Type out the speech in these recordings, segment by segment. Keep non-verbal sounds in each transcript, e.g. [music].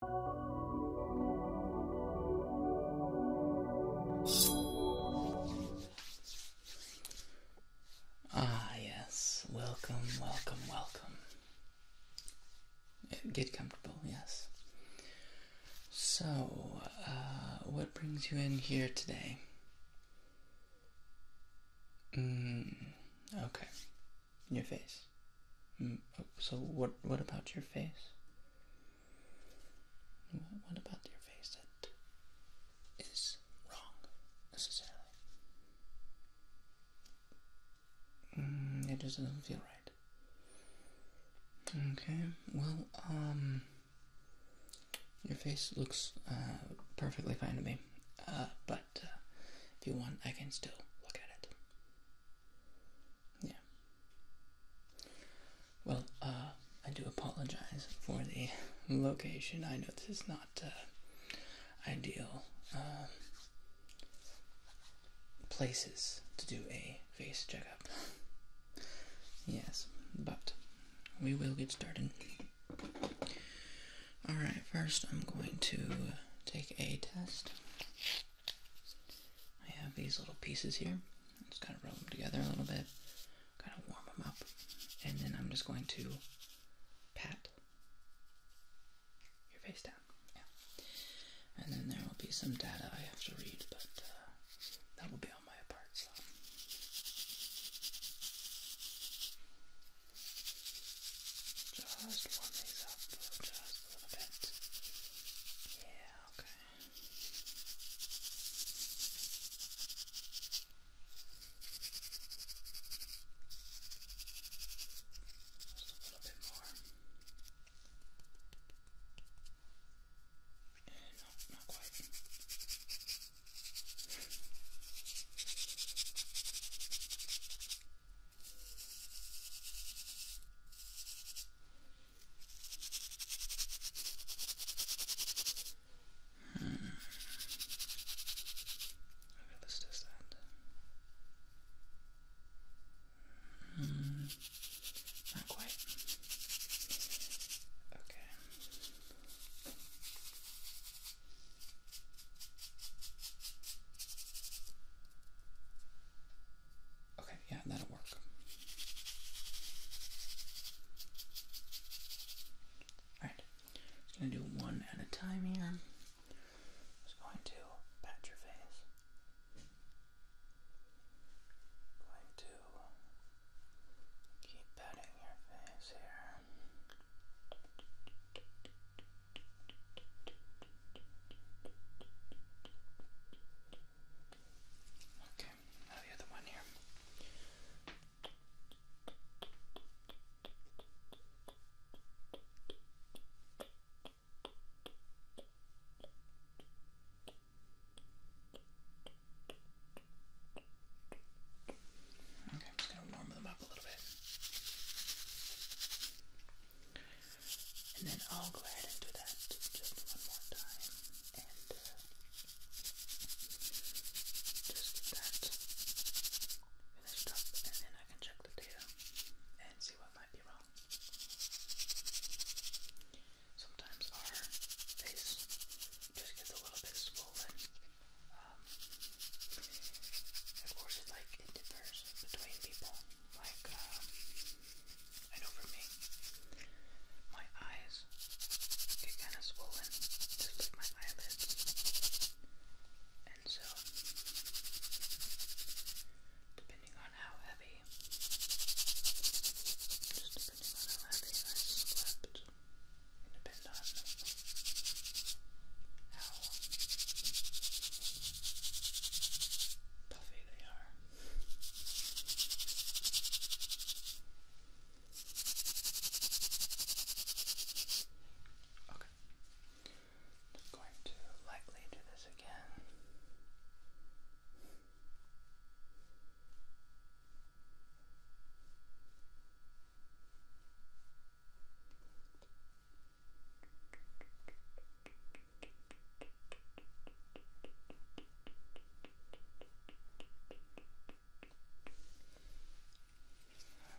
Ah, yes. Welcome, welcome, welcome. Get comfortable, yes. So, uh, what brings you in here today? Mm, okay. Your face. Mm, so what? What about your face? What about your face that is wrong necessarily? Mm, it just doesn't feel right. Okay, well, um, your face looks uh, perfectly fine to me, uh, but uh, if you want, I can still look at it. Yeah. Well, uh, I do apologize for the location. I know this is not uh, ideal um, places to do a face checkup. yes, but we will get started. Alright, first I'm going to take a test. I have these little pieces here. I'm just gonna rub them together a little bit, kind of warm them up, and then I'm just going to pat your face down. Yeah. And then there will be some data I have to read, but uh, that will be on my part. So. Just warm these up. Just a little bit. Yeah, okay. Just a little bit more. And no, not quite. Okay. Hmm. Okay, let's test that. Hmm. Not quite. Okay. Okay, yeah, that'll work. Alright, gonna do one at a time here. Just going to pat your face. Going to keep patting your face here. Okay, now the other one here. Okay, just going to warm them up a little bit. And then I'll go ahead and do that just one more time. And uh, just that finished up, and then I can check the data and see what might be wrong. Sometimes our face just gets a little bit swollen. Um, of course, it, like it between people like, uh, I know for me, my eyes get kind of swollen, just like my eyelids. And so, depending on how heavy, just depending on how heavy I slept, and on how puffy they Okay. going to lightly do this again.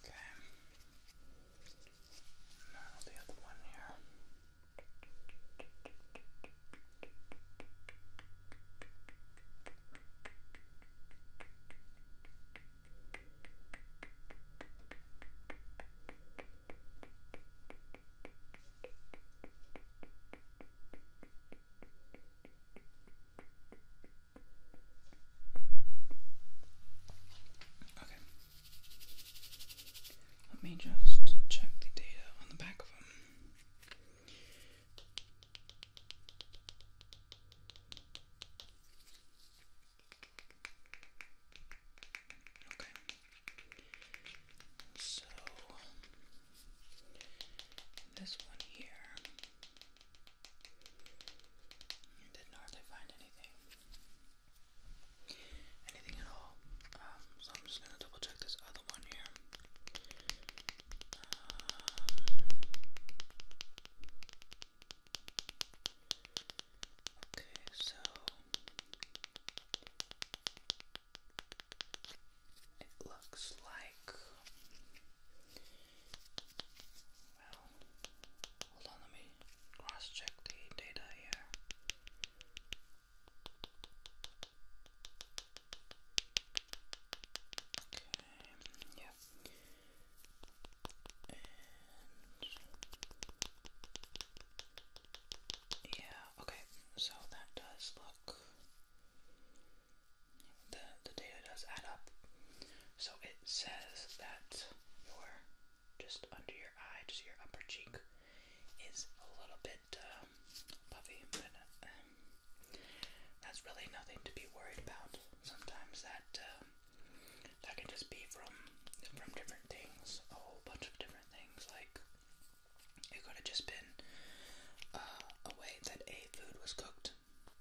Okay. Now the other one here. Okay. Okay. Let me just check the data on the back of them. Okay. So this one here, didn't hardly find anything, anything at all. Um, so I'm just gonna double check this other one here. Um, okay, so it looks like. Well, hold on, let me cross check the data here. Okay, yeah. Yeah, okay, so that does look. The, the data does add up. So it says that your just under your eye, just your upper cheek, is a little bit um, puffy, but um, that's really nothing to be worried about. Sometimes that um, that can just be from from different things, a whole bunch of different things. Like, it could have just been uh, a way that a food was cooked,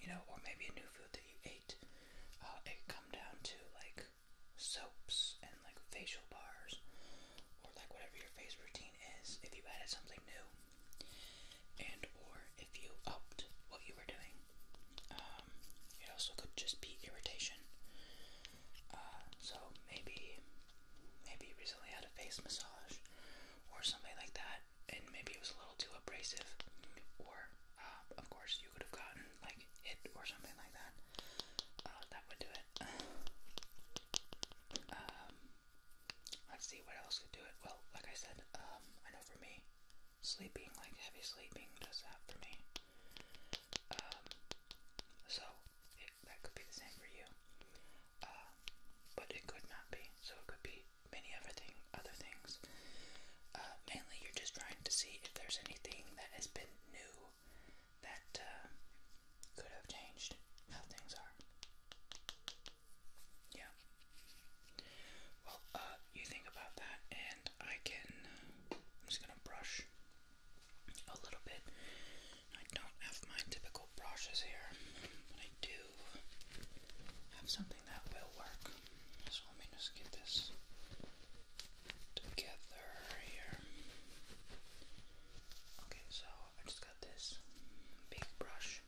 you know, or maybe a new food that you ate. Uh, it could come down to like soaps and like facial bars, or like whatever your face routine is. If you added something new, and or if you upped what you were doing, um, it also could just be irritation. Uh, so maybe, maybe you recently had a face massage or something like that, and maybe it was a little too abrasive, or uh, of course you could have gotten like hit or something like that. Uh, that would do it. [sighs] um, let's see what else could do it. Well, like I said, um, I know for me, sleeping, like heavy sleeping, does that for me. Um, so it, that could be the same for you. Uh, but it could not be. So it could be many other thing, other things. Uh, mainly, you're just trying to see if there's anything that has been new that uh, could have changed how things are. Yeah. Well, uh, you think about that, and I can. I'm just gonna brush a little bit. I don't have my typical brushes here, but I do have something that will work. So let me just get this together here. Okay, so I just got this big brush.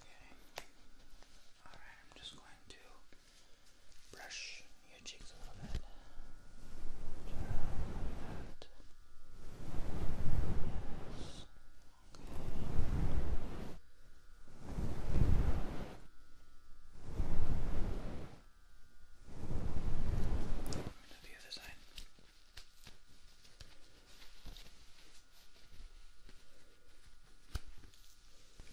Okay. Alright, I'm just going to brush your cheeks a little bit. Turn like that. the other side. Is it, uh,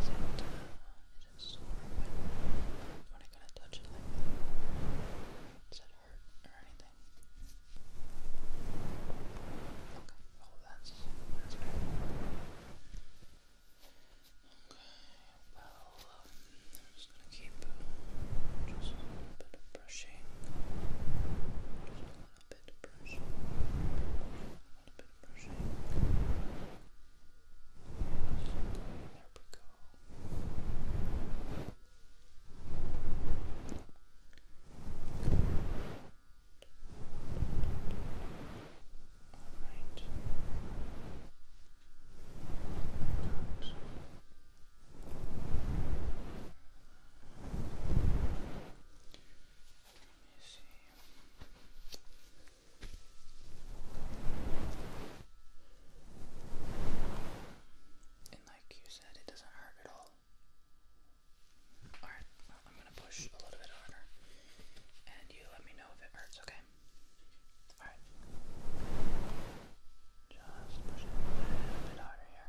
is it sore when, when I kind of touch it like that? Does it hurt or anything? Okay, well that's, that's better. Okay, well, um, I'm just gonna keep uh, just a little bit of brushing, just a little little bit of brushing, a bit of brushing. There we go. All right. Good. And like you said, it doesn't hurt at all. Alright, I'm gonna push a little bit harder. And you let me know if it hurts, okay? Alright. Just push a little bit harder here.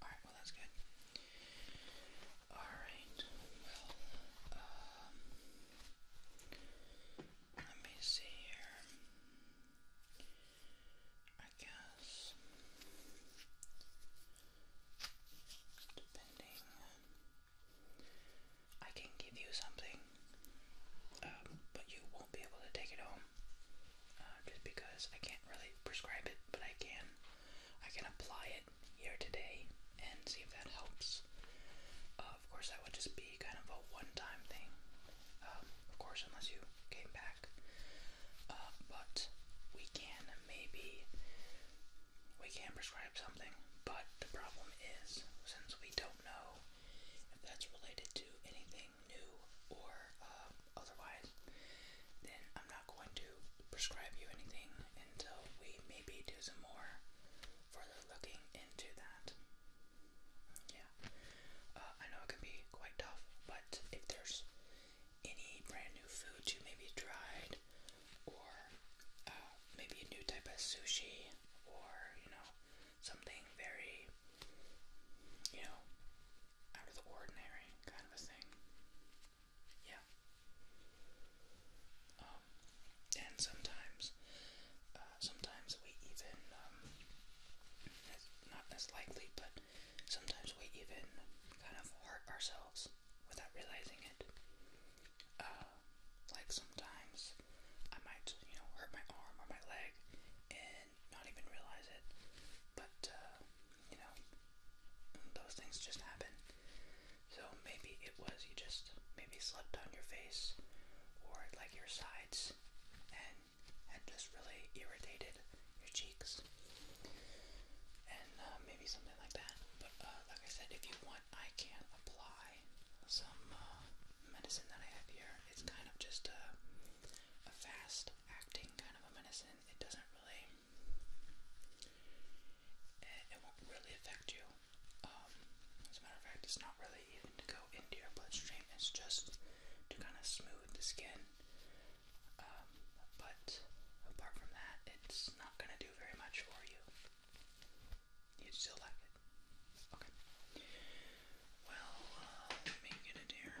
Alright, well that's good. Alright, well, um, let me see here. I guess, depending, I can give you something, um, but you won't be able to take it home, uh, just because I can't really prescribe it, but I can I can apply it here today and see if that helps. Uh, of course, that would just be kind of a one time thing, um, of course, unless you came back. Uh, but we can maybe. We can prescribe something, but the problem is, since we don't know if that's related to anything new or um, otherwise, then I'm not going to prescribe you anything until we maybe do some more further looking into that. Yeah, uh, I know it can be quite tough, but if there's any brand new foods you maybe tried, or uh, maybe a new type of sushi, or you know, something very, you know, out of the ordinary kind of a thing. Yeah. Um, and sometimes, uh, sometimes we even, um, not as likely, but sometimes we even kind of hurt ourselves without realizing it. Uh, like sometimes I might, you know, hurt my arm or my leg and not even realize it, but, uh, you know, those things just happen. So maybe it was you just maybe slept on your face or like your sides and had just really irritated your cheeks. And uh, maybe something like that. But uh, like I said, if you want, I can apply some uh, medicine that I have here. It's kind of just a, a fast acting kind of a medicine. It doesn't really it won't really affect you. Um, as a matter of fact, it's not really even to go into your bloodstream, it's just to kind of smooth the skin. Um, but apart from that, it's not going to do very much for you. You still like it. Okay. Well, uh, it here.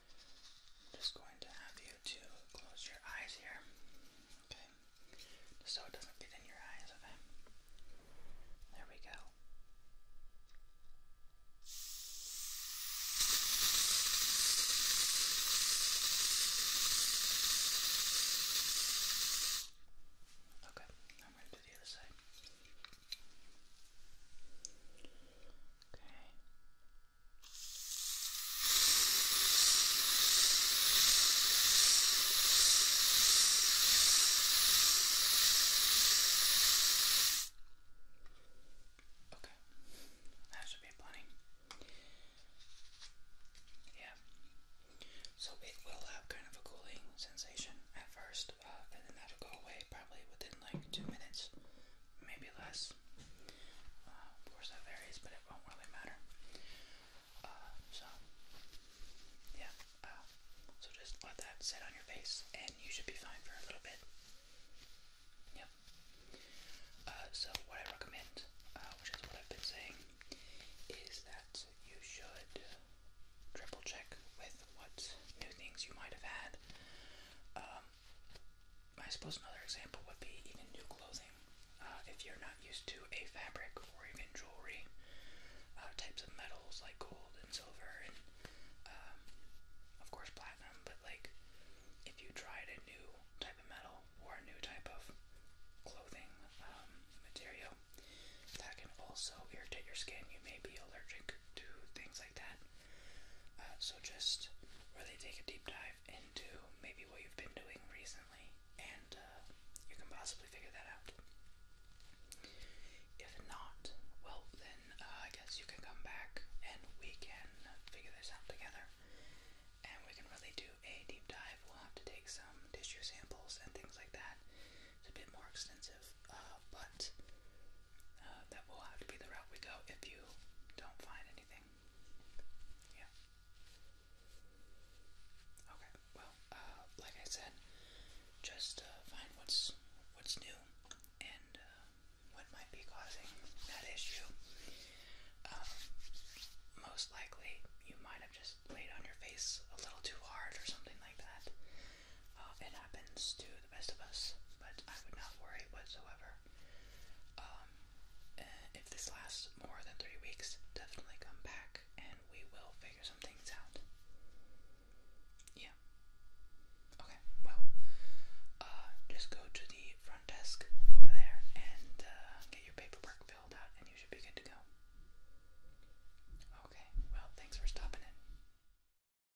just going to have you to close your eyes here. Okay. so it doesn't get in your eyes, okay? There we go. Okay, I'm going to do the other side. Okay. Okay. That should be plenty. Yeah. So it will have kind of a cooling sensation at first and uh, then that'll go away probably within like two minutes, maybe less. Uh, of course, that varies, but it won't really matter. Uh, so, yeah. so just let that sit on your face, and you should be fine for a little bit. Yep. so what I recommend, which is what I've been saying, is that you should triple check with what new things you might have had. Um, I suppose another example would be even new clothing. Uh, if you're not used to a fabric or even jewelry, uh, types of metals like gold and silver and, um, of course, platinum, but like if you tried a new type of metal or a new type of clothing um, material, that can also irritate your skin. You may be allergic to things like that. Uh, so just really take a deep dive into maybe what you've been doing recently, and uh, you can possibly figure that out. If not, well, then uh, I guess you can come back and we can figure this out together. And we can really do a deep dive. We'll have to take some tissue samples and things like that. It's a bit more extensive, uh, but but uh, that will have to be the route we go if you don't find anything. Yeah. Okay. Well, uh, like I said, just uh, find what's what's new and uh, what might be causing that issue. Um, most likely, you might have just laid on your face a little too hard or something like that. Uh, it happens to the best of us, but I would not worry whatsoever. Um, eh, if this lasts more than three weeks, definitely come back and we will figure some things out. Yeah. Okay, well, uh, just go to the front desk over there and uh, get your paperwork filled out, and you should be good to go. Okay, well, thanks for stopping in.